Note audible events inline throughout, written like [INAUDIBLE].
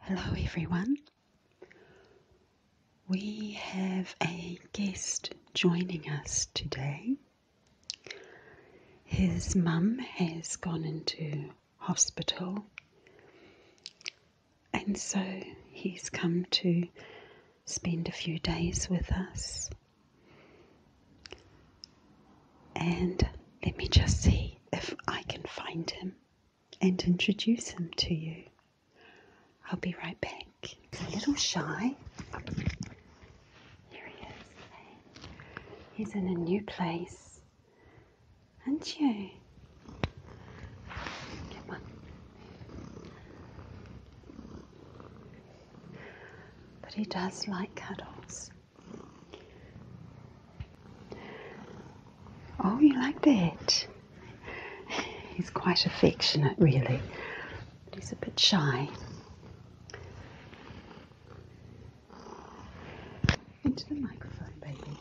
Hello, everyone. We have a guest joining us today. His mum has gone into hospital, and so he's come to spend a few days with us. And let me just see if I can find him and introduce him to you. I'll be right back. a little shy. Here he is. He's in a new place. Aren't you? Come on. But he does like cuddles. Oh, you like that? He's quite affectionate, really, but he's a bit shy. Into the microphone, baby.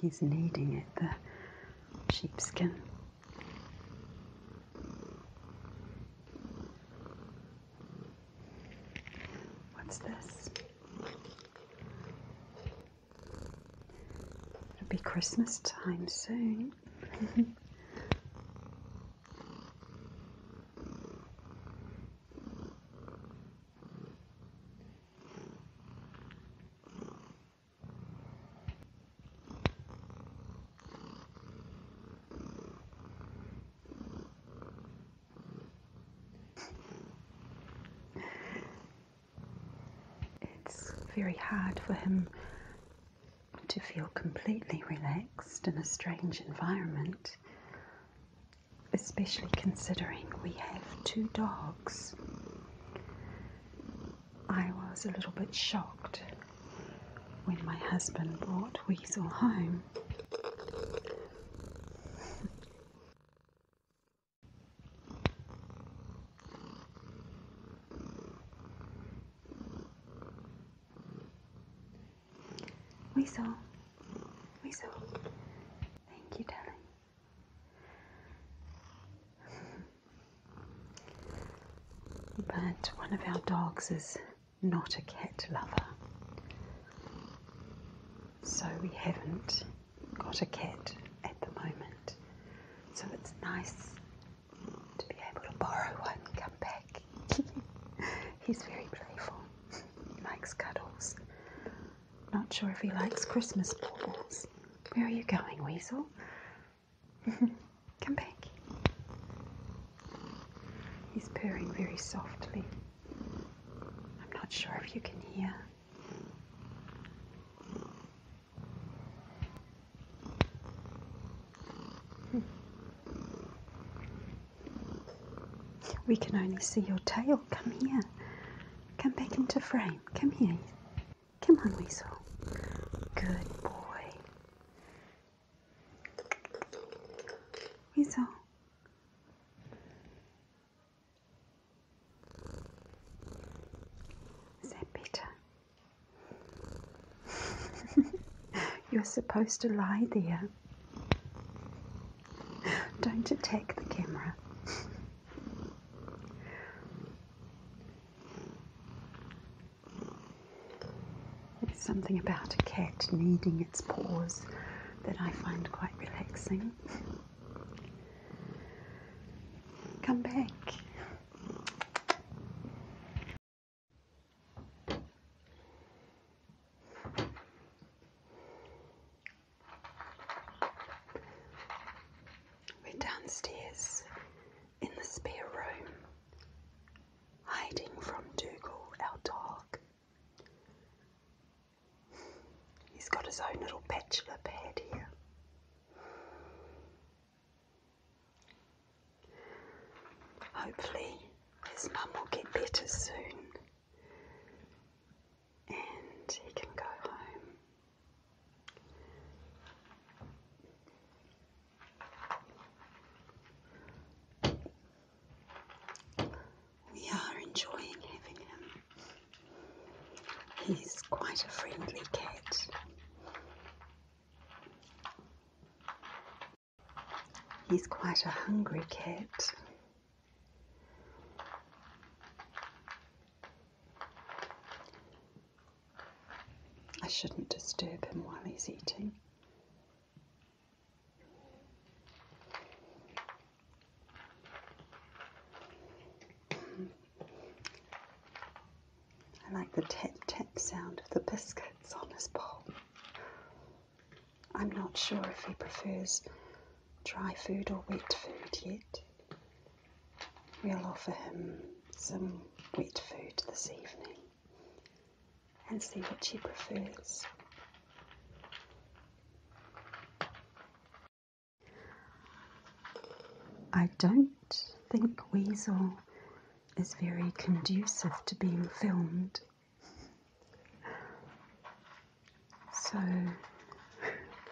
He's kneading it, the sheepskin. What's this? It'll be Christmas time soon. It's very hard for him to feel completely relaxed in a strange environment, especially considering we have two dogs. I was a little bit shocked when my husband brought Weasel home. Weasel, Weasel, thank you, darling. [LAUGHS] But one of our dogs is not a cat lover, so we haven't got a cat at the moment. So it's nice to be able to borrow one come back. [LAUGHS] He's very playful. He likes cuddles. Not sure if he likes Christmas balls. Where are you going, Weasel? [LAUGHS] come back. He's purring very softly. I'm not sure if you can hear. We can only see your tail. Come here. Come back into frame. Come here. Come on, Weasel. Good boy. Weasel. Is that better? [LAUGHS] You're supposed to lie there. Don't attack the camera. There's something about a cat kneading its paws that I find quite relaxing. Come back. We're downstairs in the spare room, hiding from Dougal, our dog. He's got his own little bachelor pad here. Hopefully, his mum will get better soon and he can go home. We are enjoying having him. He's quite a friendly cat. He's quite a hungry cat. I shouldn't disturb him while he's eating. I like the tap tap sound of the biscuits on his bowl. I'm not sure if he prefers dry food or wet food yet. We'll offer him some wet food this evening and see what he prefers. I don't think Weasel is very conducive to being filmed. So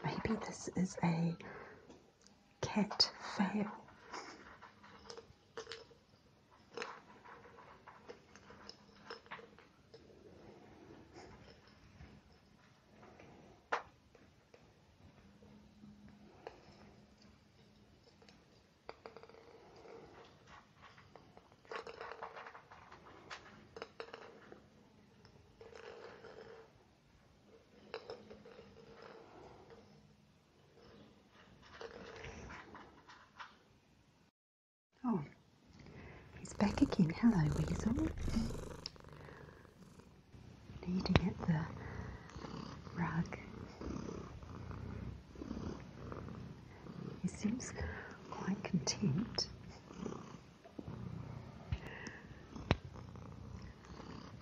maybe this is a cat fail. Oh, he's back again. Hello, Weasel. Needing at the rug. He seems quite content.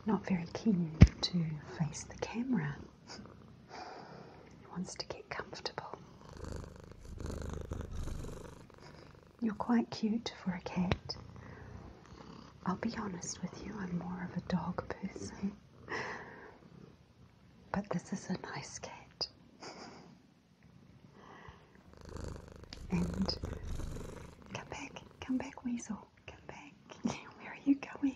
Not very keen to face the camera. He wants to get comfortable. You're quite cute for a cat. I'll be honest with you, I'm more of a dog person. But this is a nice cat. and come back, come back, Weasel, come back. [LAUGHS] Where are you going?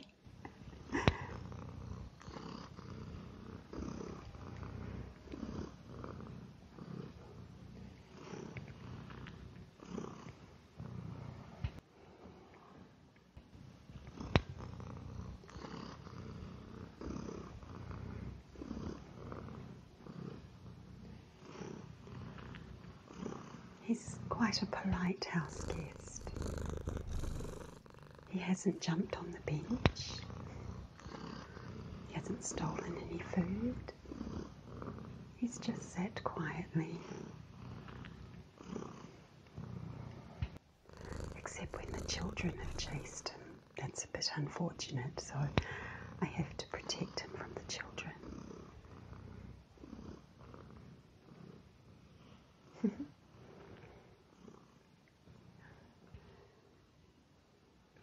He's quite a polite house guest. He hasn't jumped on the bench. He hasn't stolen any food. He's just sat quietly Except when the children have chased him. That's a bit unfortunate, so I have to protect him from the children. [LAUGHS]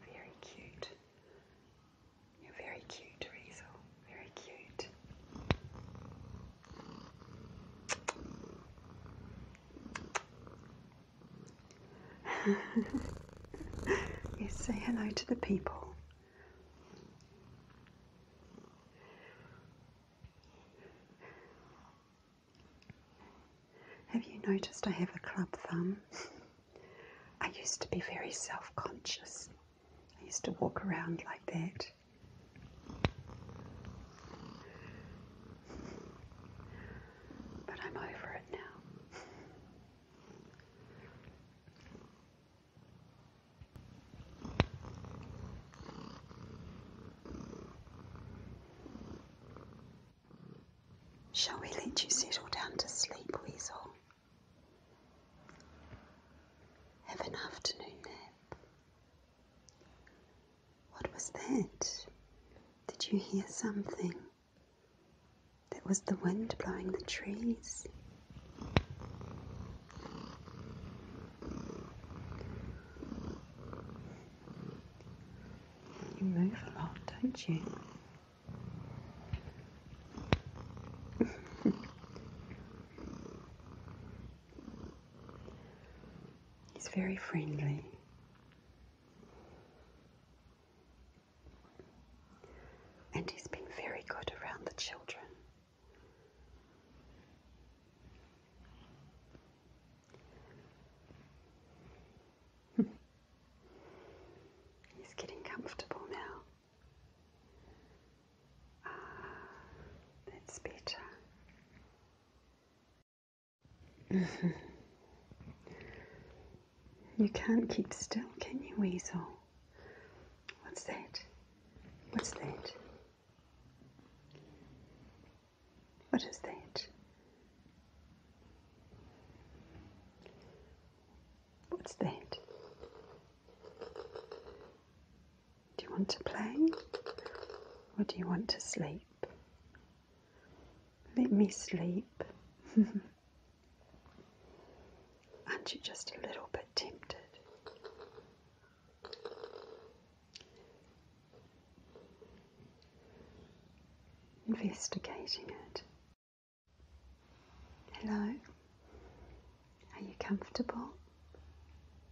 Very cute. You're very cute, Riesel. Very cute. yes, [LAUGHS] say hello to the people. Have you noticed I have a club thumb? I used to be very self conscious. I used to walk around like that. But I'm over it now. Shall we let you settle down to sleep, Weasel? Have an afternoon nap. What was that? Did you hear something? That was the wind blowing the trees. You move a lot, don't you? [LAUGHS] He's very friendly. And he's been very good around the children. [LAUGHS] he's getting comfortable now. Ah, that's better. you can't keep still, can you, Weasel? What's that? What's that? What is that? What's that? Do you want to play or do you want to sleep? Let me sleep. [LAUGHS] Aren't you just a little bit tempted? Investigating it. Hello? Are you comfortable?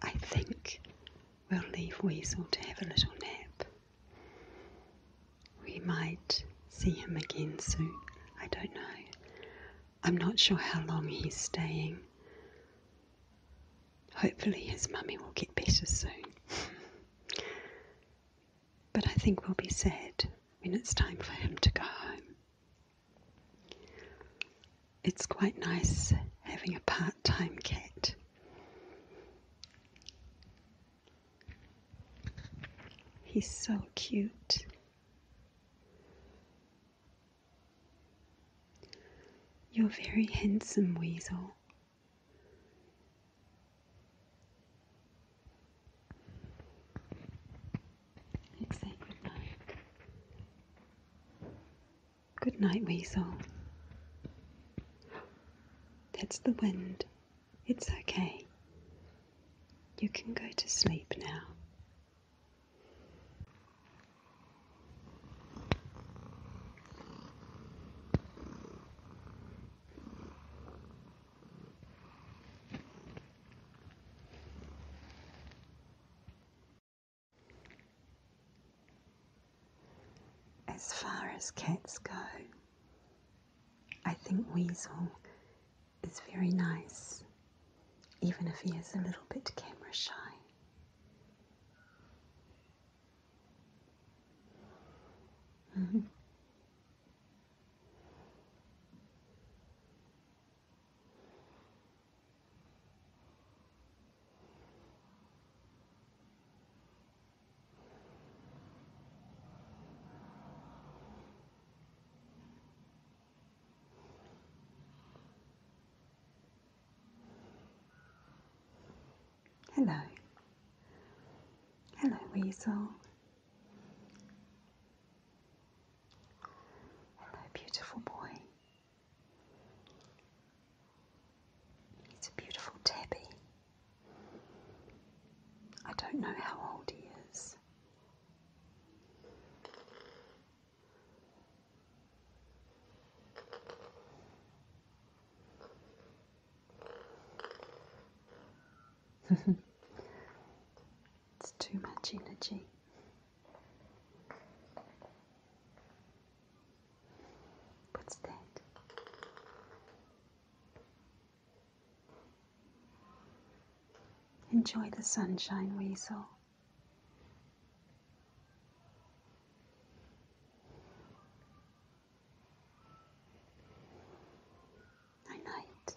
I think we'll leave Weasel to have a little nap. We might see him again soon. I don't know. I'm not sure how long he's staying. Hopefully, his mummy will get better soon. [LAUGHS] but I think we'll be sad when it's time for him to go home. It's quite nice having a part time cat. He's so cute. You're very handsome, Weasel good night. Good night, Weasel. That's the wind. It's okay. You can go to sleep now. As far as cats go, I think Weasel is very nice, even if he is a little bit camera shy. [LAUGHS] Hello. Hello, Weasel. Hello, beautiful boy. He's a beautiful tabby. I don't know how old he is. [LAUGHS] it's too much energy. What's that? Enjoy the sunshine, Weasel. Night night.